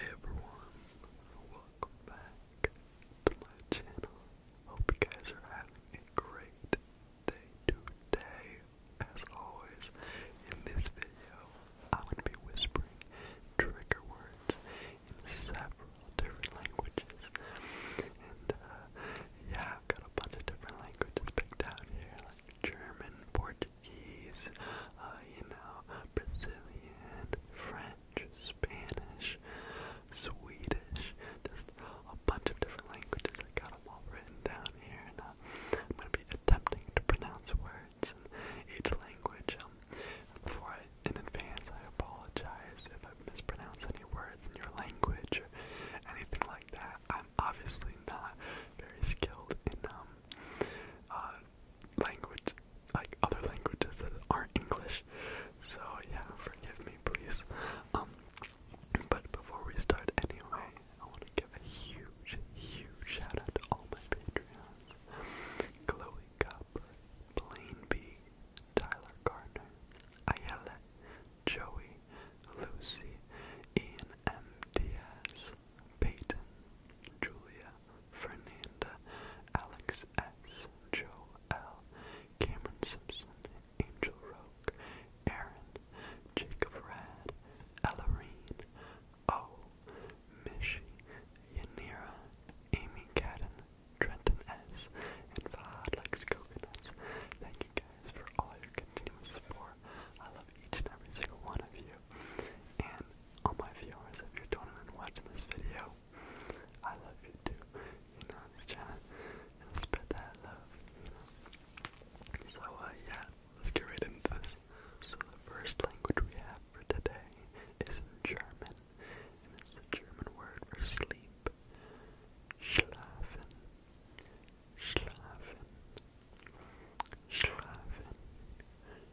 everyone, welcome back to my channel. Hope you guys are having a great day today. As always, in this video, I'm going to be whispering trigger words in several different languages. And uh, yeah, I've got a bunch of different languages picked out here, like German, Portuguese. Portuguese, uh, you know, Brazilian, French, Spanish, Swedish, just a bunch of different languages. I got them all written down here, and uh, I'm going to be attempting to pronounce words in each language. Um, before I, in advance, I apologize if I mispronounce any words in your language or anything like that. I'm obviously not very skilled in um, uh, language, like other languages that aren't English. So yeah, forgive me, please. Um, but before we start, anyway, I want to give a huge, huge shout out to all my Patreons: Chloe Copper, Blaine B, Tyler Gardner, Ayala, Joey, Lucy, Ian M. Diaz, Peyton, Julia, Fernanda, Alex S, Joe L, Cameron Simpson, Angel Roke, Aaron, Jacob Rad, Ellerine, O, Mishi, Yanira, Amy Cadden, Trenton S, and Vlad likes coconuts. Thank you guys for all your continuous support. I love each and every single one of you. And all my viewers, if you're watching this video, I love you too. You know, just trying to spread that love, So, uh, yeah, let's get right into this. So, the first language we have for today is in German, and it's the German word for sleep. Schlafen. Schlafen. Schlafen.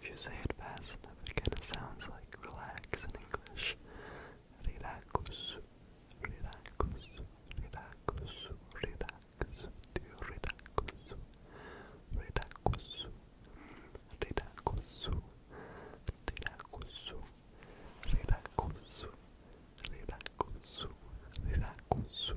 If you say it fast enough, it kind of sounds like relax in English. Relax, relax, relax, relax, relax, relax, relax, relax, relax. Relaxu, relaxu, relaxu, relaxu, relaxu,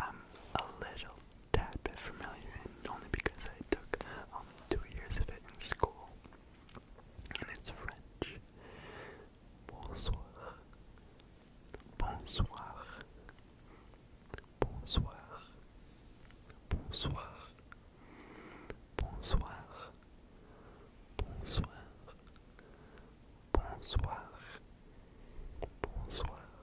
I'm a little tad bit familiar, and only because I took um, two years of it in school. And it's French. Bonsoir. Bonsoir. Bonsoir. Bonsoir. Bonsoir. Bonsoir. Bonsoir. Bonsoir.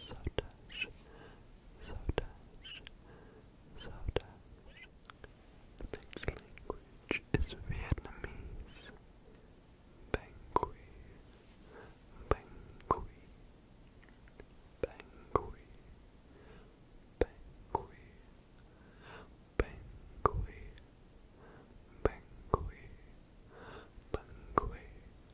so dash, so The next language is Vietnamese. Bangui, Bangui, Bangui, Bangui, Bangui, Bangui, Bangui.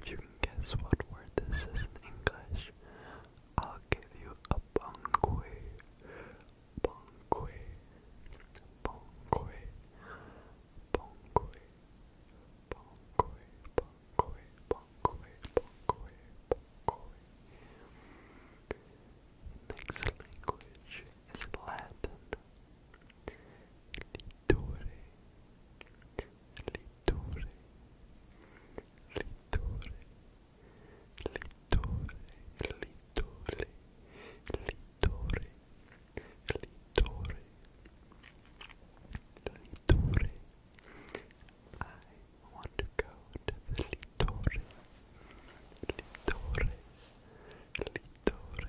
If you can guess what word this is in English, I'll give you a bonque. Bonque. Bonque. Bonque. Bonque. Bonque. Bonque. Bonque. Bonque. Next language is Latin. Littore, littore, littore, littore, littore, littore, littore, littore. I want to go to the littore, littore, littore.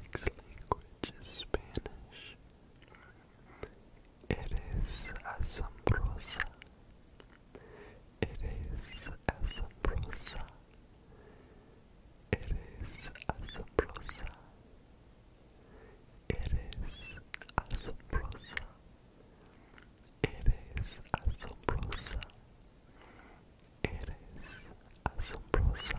Next language is Spanish. Eres asombrosa. Eres asombrosa. Eres asombrosa. Eres asombrosa. Eres asombrosa. Eres asombrosa.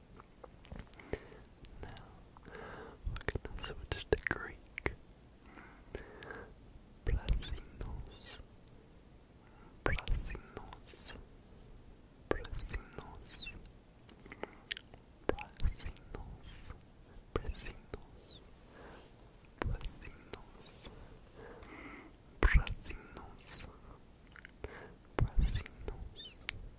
Now we're gonna switch to Greek. Plasinos, Plasinos, Plasinos, Plasinos, Plasinos, Plasinos, Plasinos, Plasinos.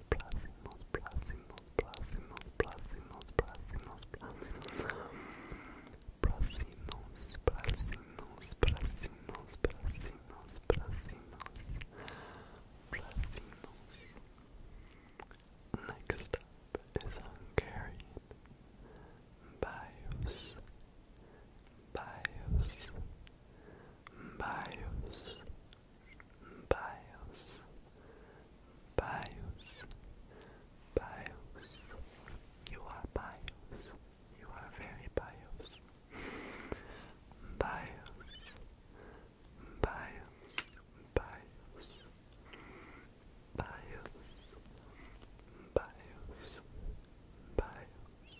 Placinos, Placinos, Placinos, Placinos, Placinos, Placinos, Placinos, Placinos, Placinos, Placinos, Placinos. Next up is Hungarian. Bios, bios, bios, bios, bios, bios. You are bios. You are very bios. Bios, bios, bios, bios, bios, bios.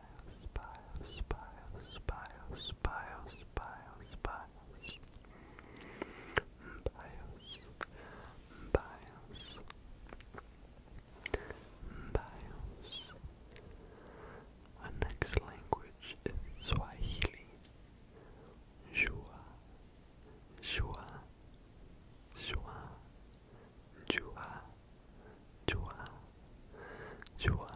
bios, bios, bios, bios, bios, bios, bios, bios, bios. Our next language is Swahili. Jua, jua, jua, jua, jua, jua.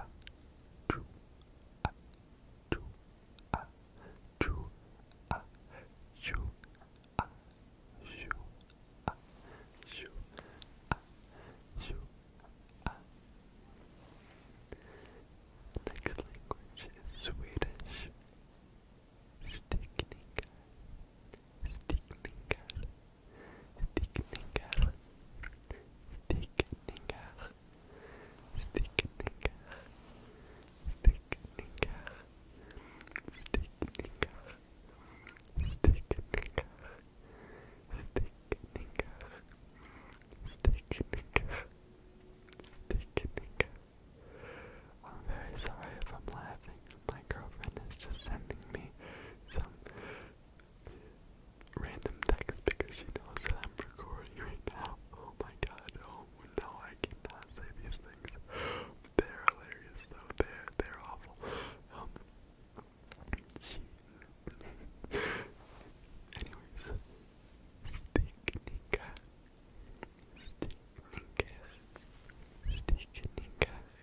achoo, achoo, Next language Swedish. Stickningar, stickningar, Stigninger, Stigninger, Stigninger, Stigninger, Stigninger, Stigninger, Stigninger, Stigninger, Stigninger. I'm very sorry if I'm laughing. My girlfriend is just sending me some random text because she knows that I'm recording right now. Oh my god, oh no, I cannot say these things. They're hilarious though, they're, they're awful. Um, she... Anyways, Sticknika, Sticknika, Sticknika,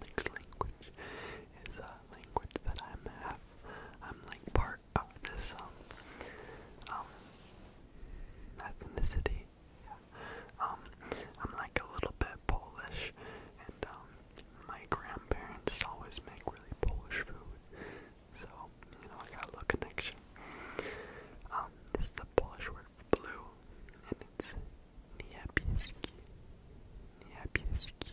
next language is a language that I'm half, I'm like part of this um, um ethnicity. Yeah. Um, I'm like a little bit Polish, and um, my grandparents always make really Polish food, so you know I got a little connection. Um, this is the Polish word for blue, and it's niebieski. Niebieski.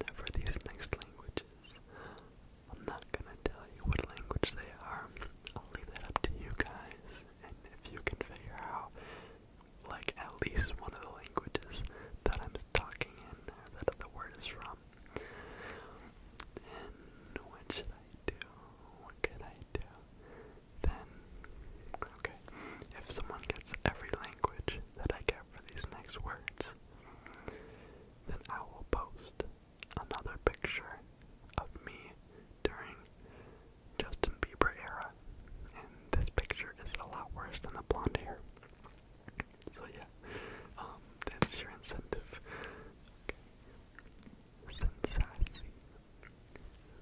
Now, for these next languages, I'm not gonna tell you what language they are. I'll leave that up to you guys, and if you can figure out, like, at least one of the languages that I'm talking in, or that the word is from, then what should I do? What could I do? Then, okay, if someone gets every language, that I get for these next words, then I will post another picture of me during Justin Bieber era. And this picture is a lot worse than the blonde hair. So yeah, um, that's your incentive. Sensassy.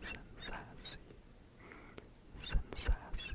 Sensassy. Sensassy.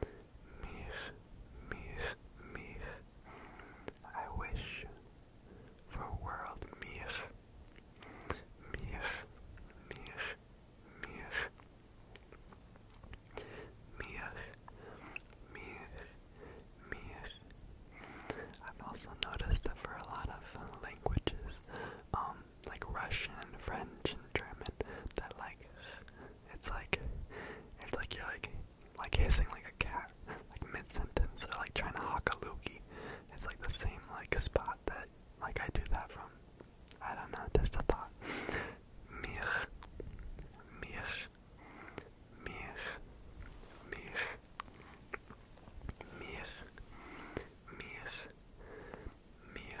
Mich, mich, mich. I wish for world mich. Mich, mich, mich. Mich, mich, I've also noticed that for a lot of languages, um, like Russian and French and German, that like it's like it's like you're like like hissing like a cat, like mid sentence, or like trying to hawk a loogie. It's like the same like spot that like I do that from. I don't know, just a thought. Mir Mir Mir Mir Mir Mir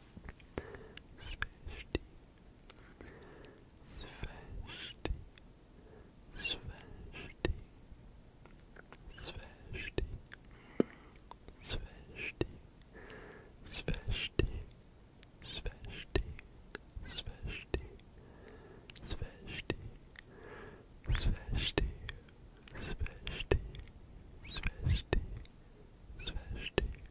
Svesti Svesti Svesti Svesti Svesti Svesti Svesti Svesti Svesti Svesti Svesti Svesti Svesti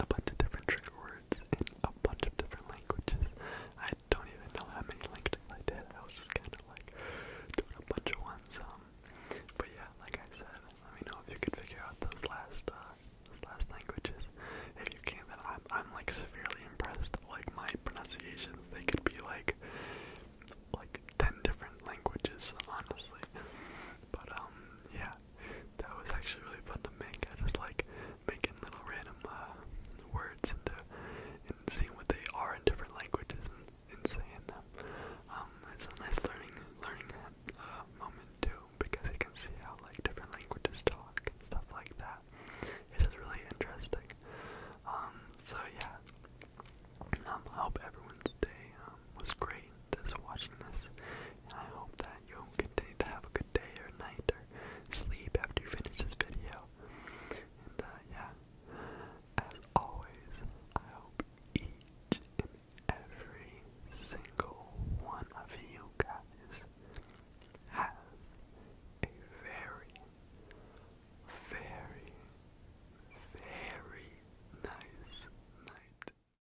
a bunch of different trigger words in a bunch of different languages. I don't even know how many languages I did. I was just kind of like doing a bunch of ones. Um, but yeah, like I said, let me know if you could figure out those last, uh, those last languages. If you can, then I'm, I'm like severely impressed. Like my pronunciations, they could be like, like ten different languages, honestly. But um, yeah, that was actually really fun to make. I just like making little random uh, words into and seeing what they are in different languages and, and saying them. Um, it's a nice learning learning uh, moment too because you can see how like different languages talk and stuff like that. It's just really interesting. Um, so yeah. Um, I hope everyone's day um, was great. This watching this, I hope that you'll continue to have a good day or night or sleep after you finish this video. And uh, yeah, as always, I hope each and every single one of you guys has a very, very, very nice night.